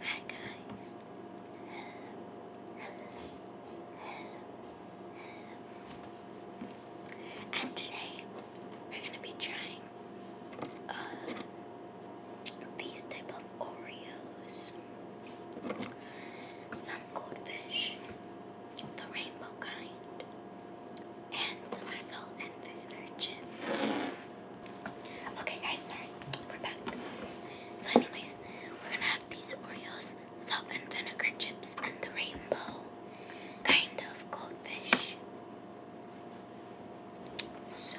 Hi guys! Hello, And today we're gonna be trying uh, these type of Oreos, some goldfish, the rainbow kind, and some salt and vinegar chips. Okay, guys, sorry, we're back. So, anyways, we're gonna have these Oreos, salt and vinegar chips, and the rainbow kind of goldfish. So,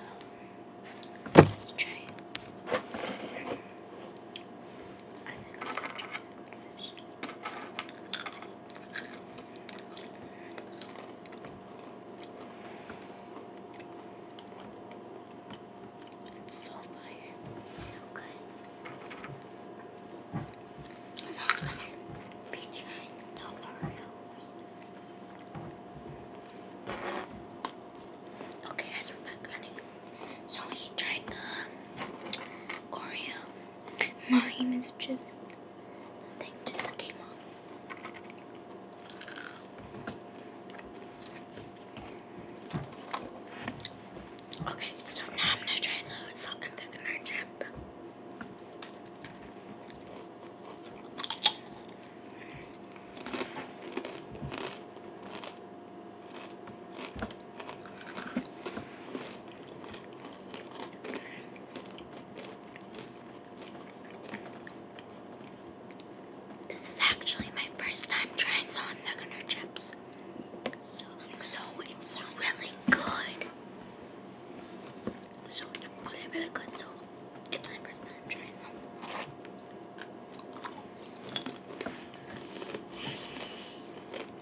let's try so fire. so good. I'm not gonna be trying the Oreos. Okay guys, we're back on So he tried the Oreo. Mine is just the thing just came off. Okay, so now I'm gonna try the salt and thickener chip. This is actually my first time trying Salt and Vinegar chips. So it's really good. So it's really good. So it's my first time trying them.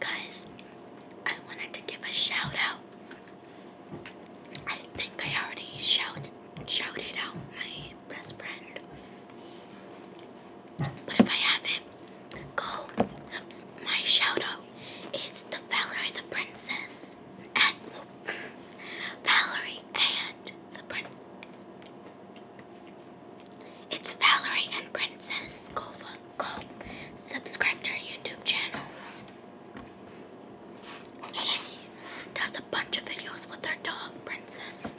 Guys, I wanted to give a shout out. I think I already shout, shouted out my best friend. But if I haven't, go. My shout is to Valerie the Princess and Valerie and the Prince. It's Valerie and Princess. Go, go subscribe to her YouTube channel. She does a bunch of videos with her dog, Princess.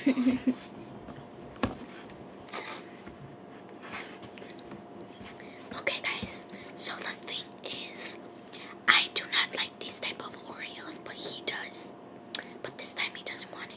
okay guys, so the thing is I do not like this type of Oreos, but he does. But this time he doesn't want it.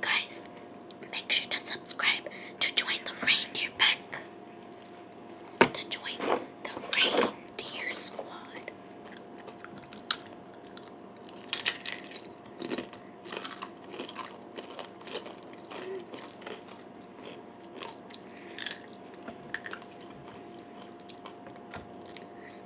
Guys, make sure to subscribe to join the reindeer pack. To join the reindeer squad.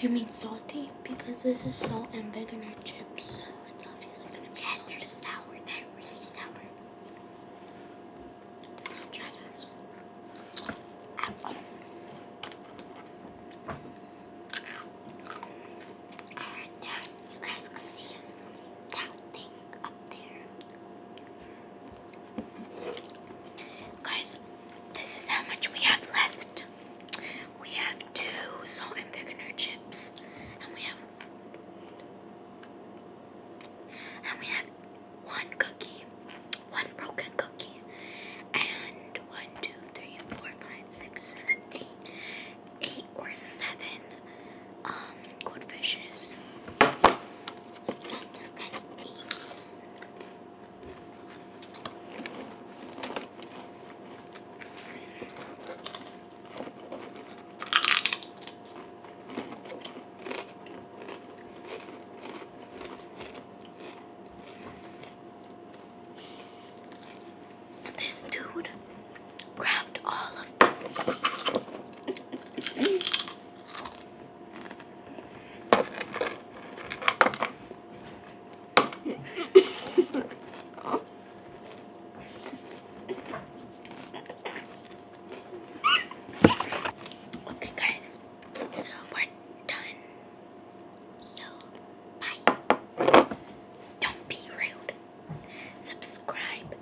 You mean salty? Because this is salt and vinegar chips it's obviously going They're sour. They're really sour. I'll try to. Ow. Alright, now you guys can see that thing up there. Guys, this is how much we have left. We have two salt and vinegar chips, and we have and we have one cookie, one broken cookie, and one, two, three, four, five, six, seven, eight, eight or seven um goldfishes. This dude grabbed all of okay, guys. So we're done. So bye. Don't be rude. Subscribe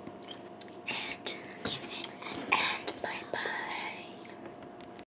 and give it. And bye bye.